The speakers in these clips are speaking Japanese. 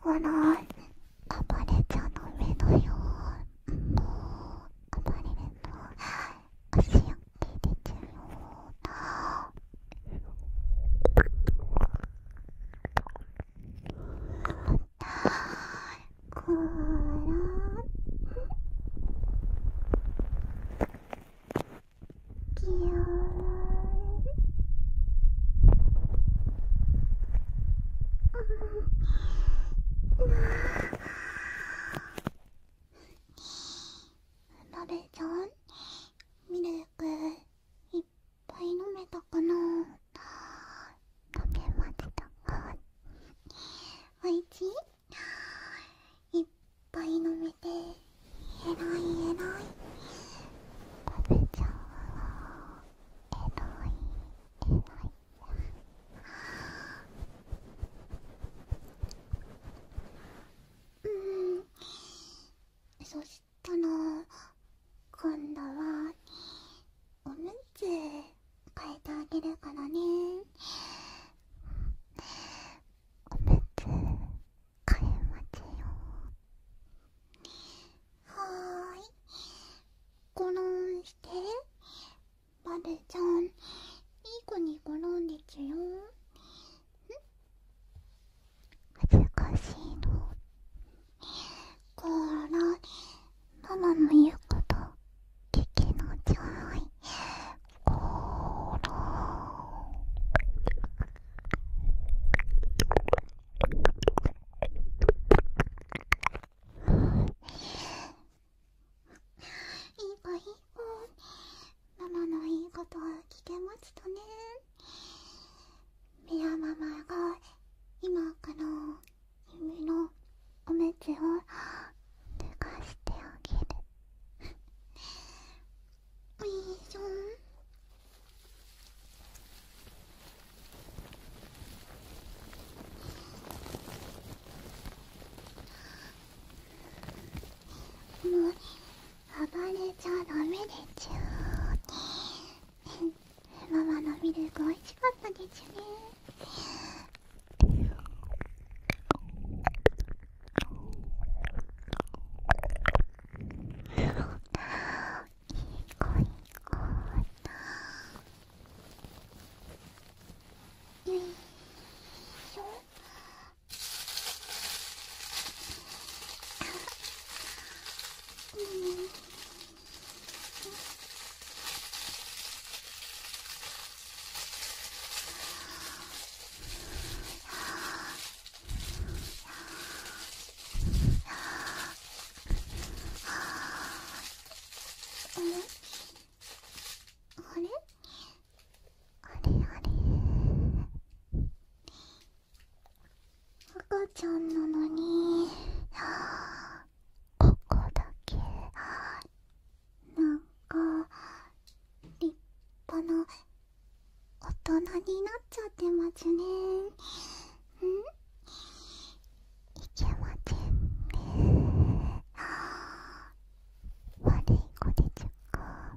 このあばれちゃんの目のようもうあばれると足を切れちゃうようなこらきよらなべちゃんミルクいっぱい飲めたかな飲めましたかいちいっぱい飲めてえらいえらいパフちゃんはえらいえらいうんそしたら今度はおむつ変えてあげるからねおむつ替えますよはーいゴロンしてバルちゃんいい子にゴロンですよ恥ずかしいのこらママの言うこと聞きなちゃいこらいい子いい子ママのいいこと聞けましたねミラママが今から夢のおめつを脱がしてあげる おいしょもう暴れちゃダメでちゅーママのミルク美味しかったでちゅねーいい子いい子だよいしょあれあれ赤ちゃんなのにここだけなんか立派な大人になっちゃってますねんいけませんね悪い子でちゅか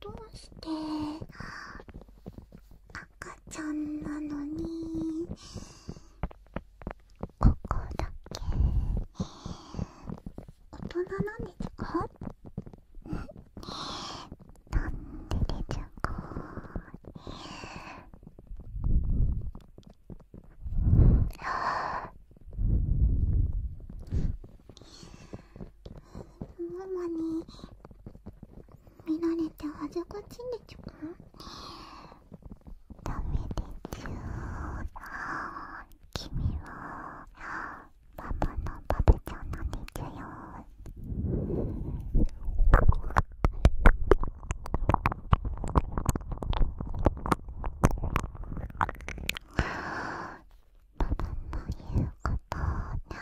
どうして赤ちゃんなのにここだけ大人なんですかなんででちゃうかママに見られて恥ずかしいでちゅダメでちゅ君はママのバブちゃんなんでちゅよパパの言うこと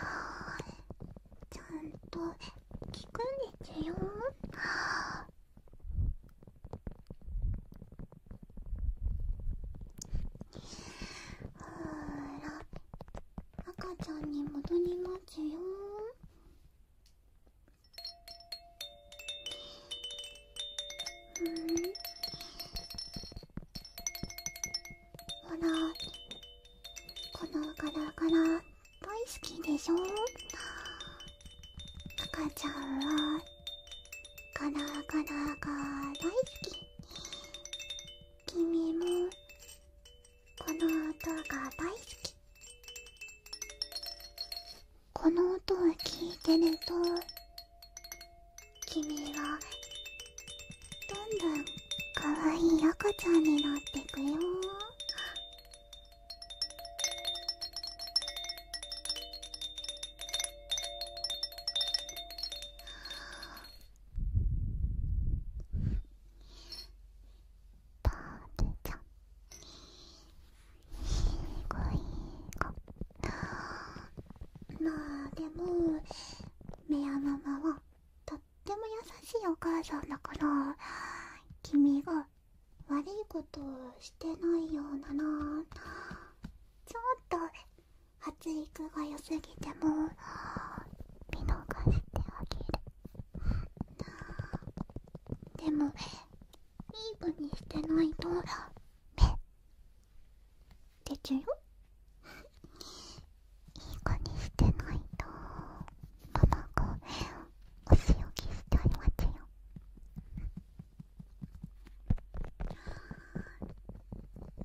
ちゃんと聞くんでちゅよほら赤ちゃんに戻りますようんほらこのガラガラ大好きでしょ赤ちゃんはガラガラが大好き君もこの音が大好きこの音を聞いてると君はどんどんかわいい赤ちゃんになってくよパールちゃんいい子いい子まあでもメアママはとっても優しいお母さんだから君が悪いことしてないようななちょっと発育が良すぎても見逃してあげるでもいい子にしてないと目でちゅよいい子にしてないと卵お仕置きしてありますよ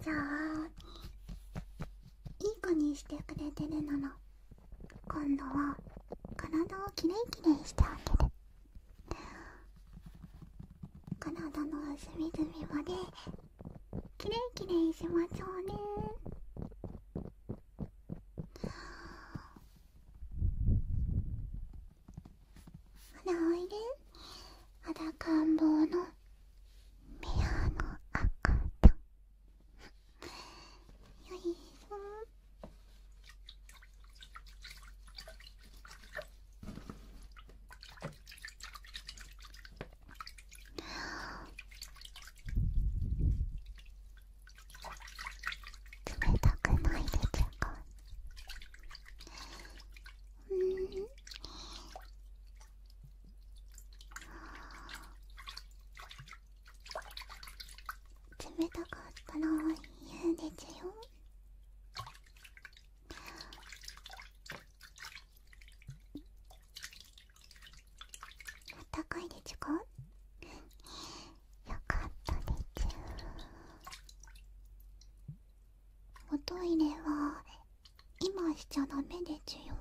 じゃあいい子にしてくれてるなら今度は体をきれいきれいしてあげる体の隅々まできれいきれいしましょうねほらおいで肌、感坊のメアの赤ちゃよいしょっ、冷たくないでちゃかうん冷たかったら言うでちゅよあったかいでちゅかよかったでちゅおトイレは今しちゃダメでちゅよ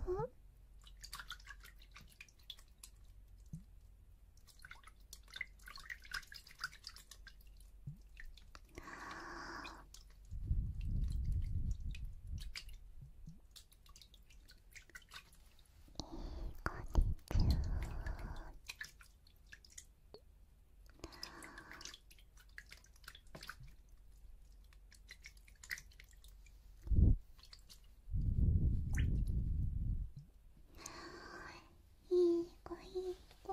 いい子いい子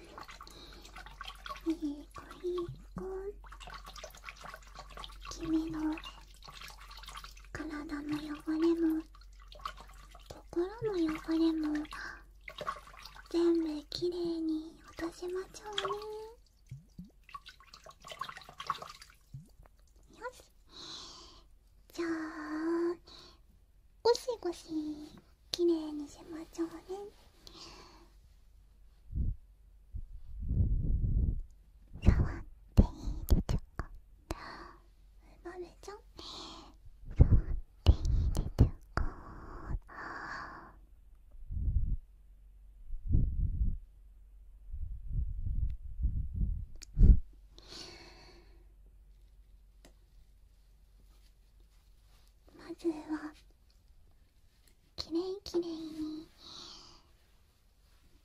いい子いい子君の体の汚れも心も汚れも全部きれいに落としましょうねよしじゃあゴしごし、きれいにしましょうね触っていいでちょこなるちゃん触っていいでちょこまずはきれいきれいに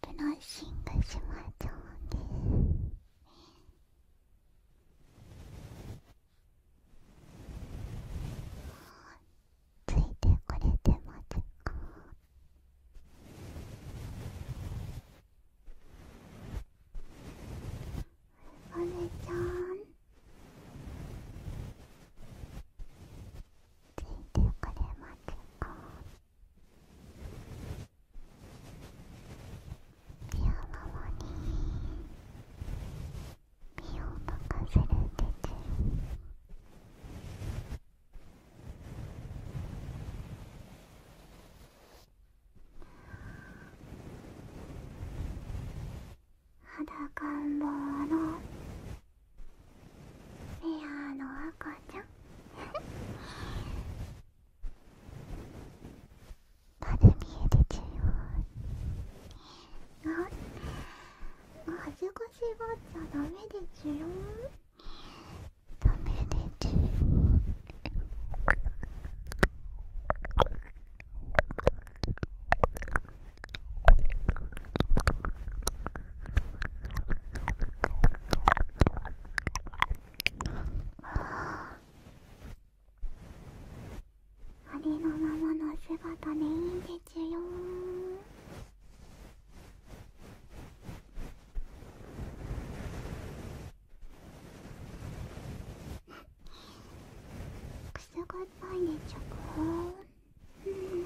ブラッシングしましょうねついてこれてますかお姉ちゃんついてくれますかピアノに身を任せる鉄「裸ん坊のペアの赤ちゃん まだ見えてちゅよ…うよ恥ずかしがっちゃダメでちゅよダメでちゅよあありのままの姿でいいんですよくすぐったいでちょこうん。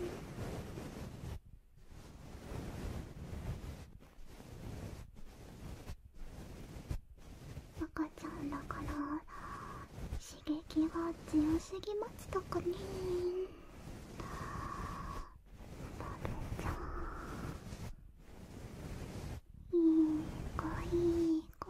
赤ちゃんだから刺激が強すぎますとかねバるちゃんいい子いい子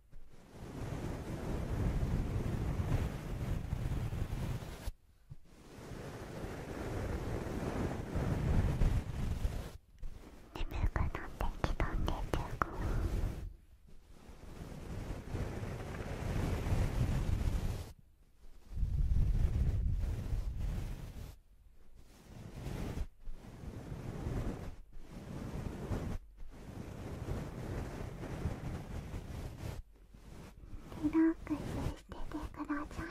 眠くなってきたんでてこリラックスしててくださいね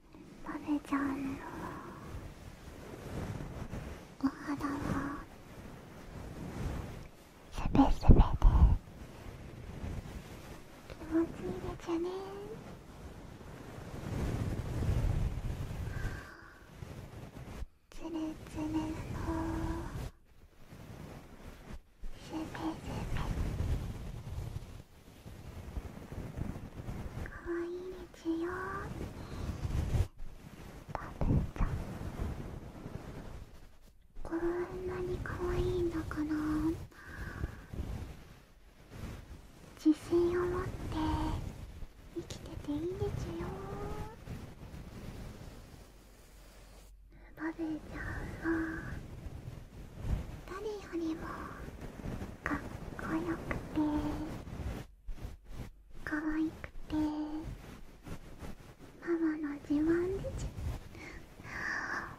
べちゃうのお肌はすべすべで気持ちいいでちよねつれつれのすべすべ愛いですよたぶんちゃんこんなに可愛いんだから自信を持って生きてていいですよバブちゃんは誰よりもかっこよくてかわいくてママの自慢でちゅあ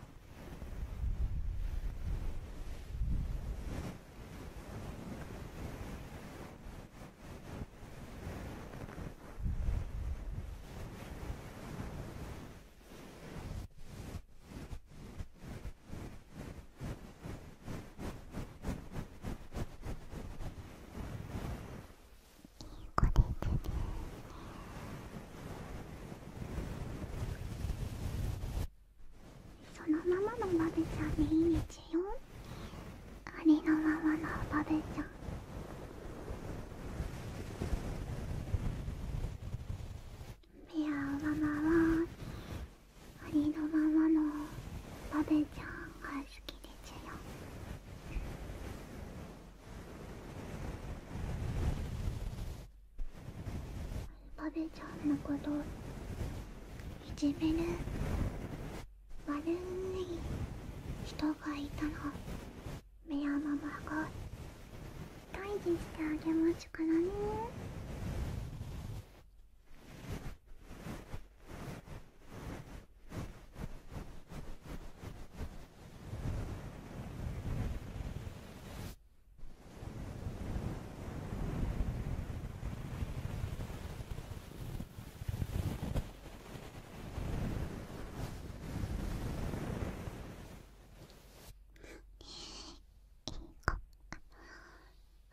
いい子てそのままのバブちゃんでいいですよありのままのバブちゃんペアママはありのままのバベちゃんが好きですよバベちゃんのこといじめる悪い人がいたらメアママが退治してあげますからねいい子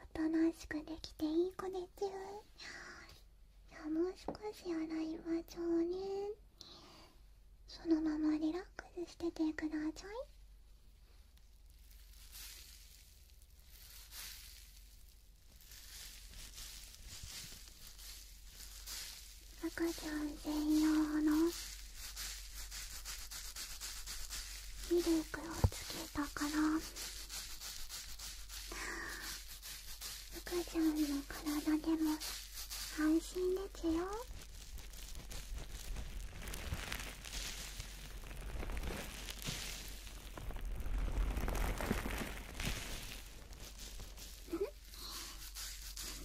おとなしくできていい子でちゅういやもう少し洗いましょうねそのままリラックスしててください赤ちゃん専用のミルクをつけたから福ちゃんの体でも安心ですよ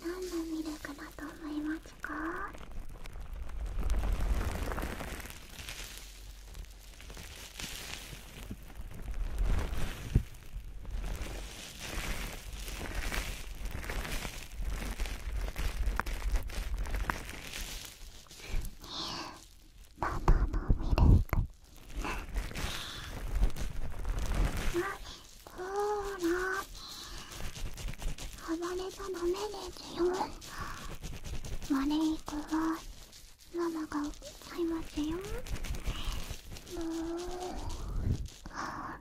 何のミルクだと思いますかママのミルクあコーラ暴れちゃダメですよマネー子はママが起いますよブーあ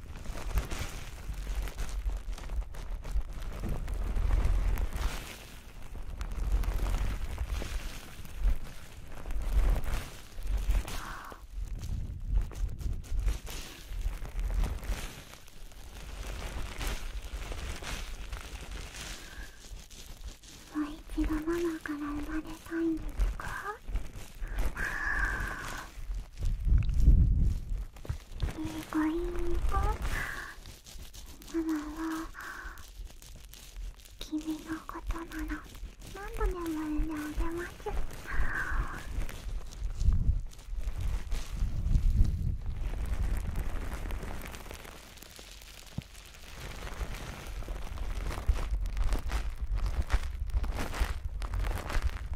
大一度、ママから生まれたいんですかごいんごママは君のことなら何度でも産んであげます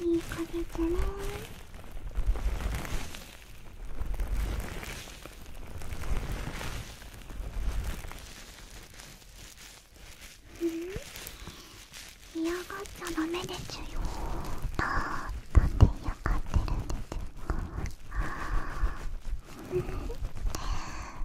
いい風だなうん、嫌がっちゃダメでちゅよあって嫌がってるんでちゅか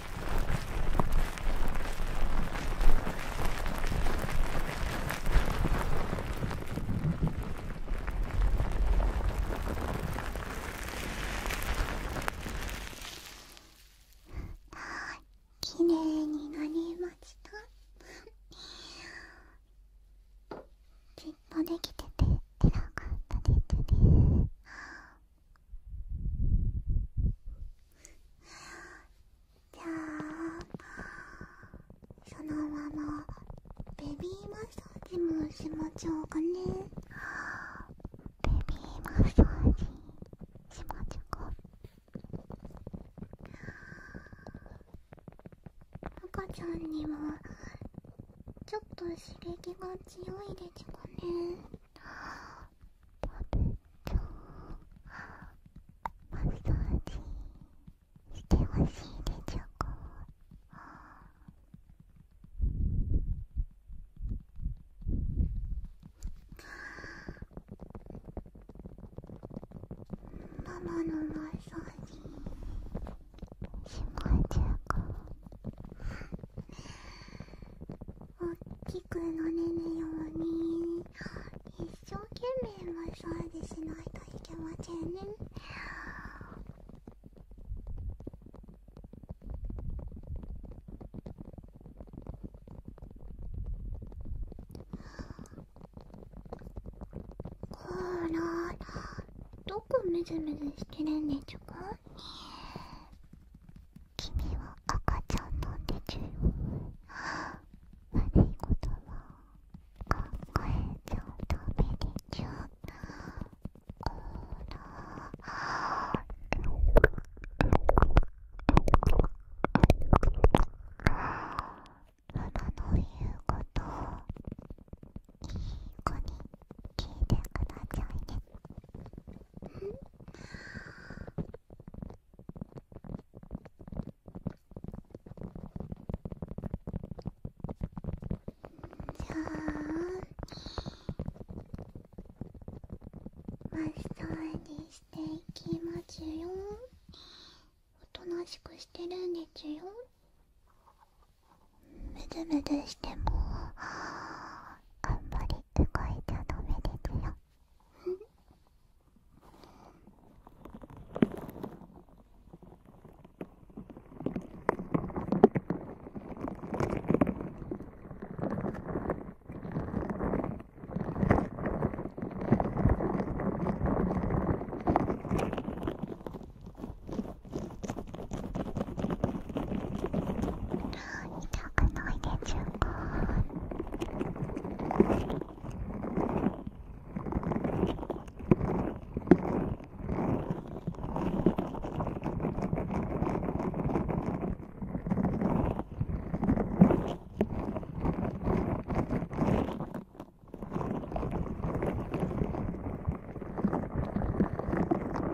きれいになりましたじっとできてて偉かったですねじゃあそのままベビーマッサージもしましょうかねベビーマッサージしましょうか赤ちゃんにはちょっと刺激が強いですかね食べちマッサージしてほしいでちょこママのマッサージしまちゅうかおっきくなれるように一生懸命マッサージしないといけませんねほらどこむずむずしてるんでちゅか君は赤ちゃんの手で悪いことは考えちゃうダメでちゅこらママの言うことをいい子に聞いてくださいね。ん、じゃあ、マッサージしていきますよおとなしくしてるんですよむずむずしてもはあんまり書いてゃダメですよ痛くないでちゅうかあ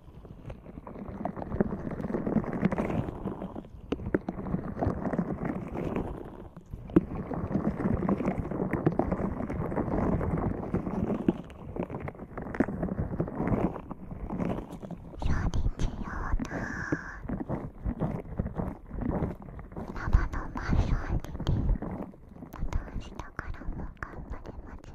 ラバのマまた明日からも頑張れますよ。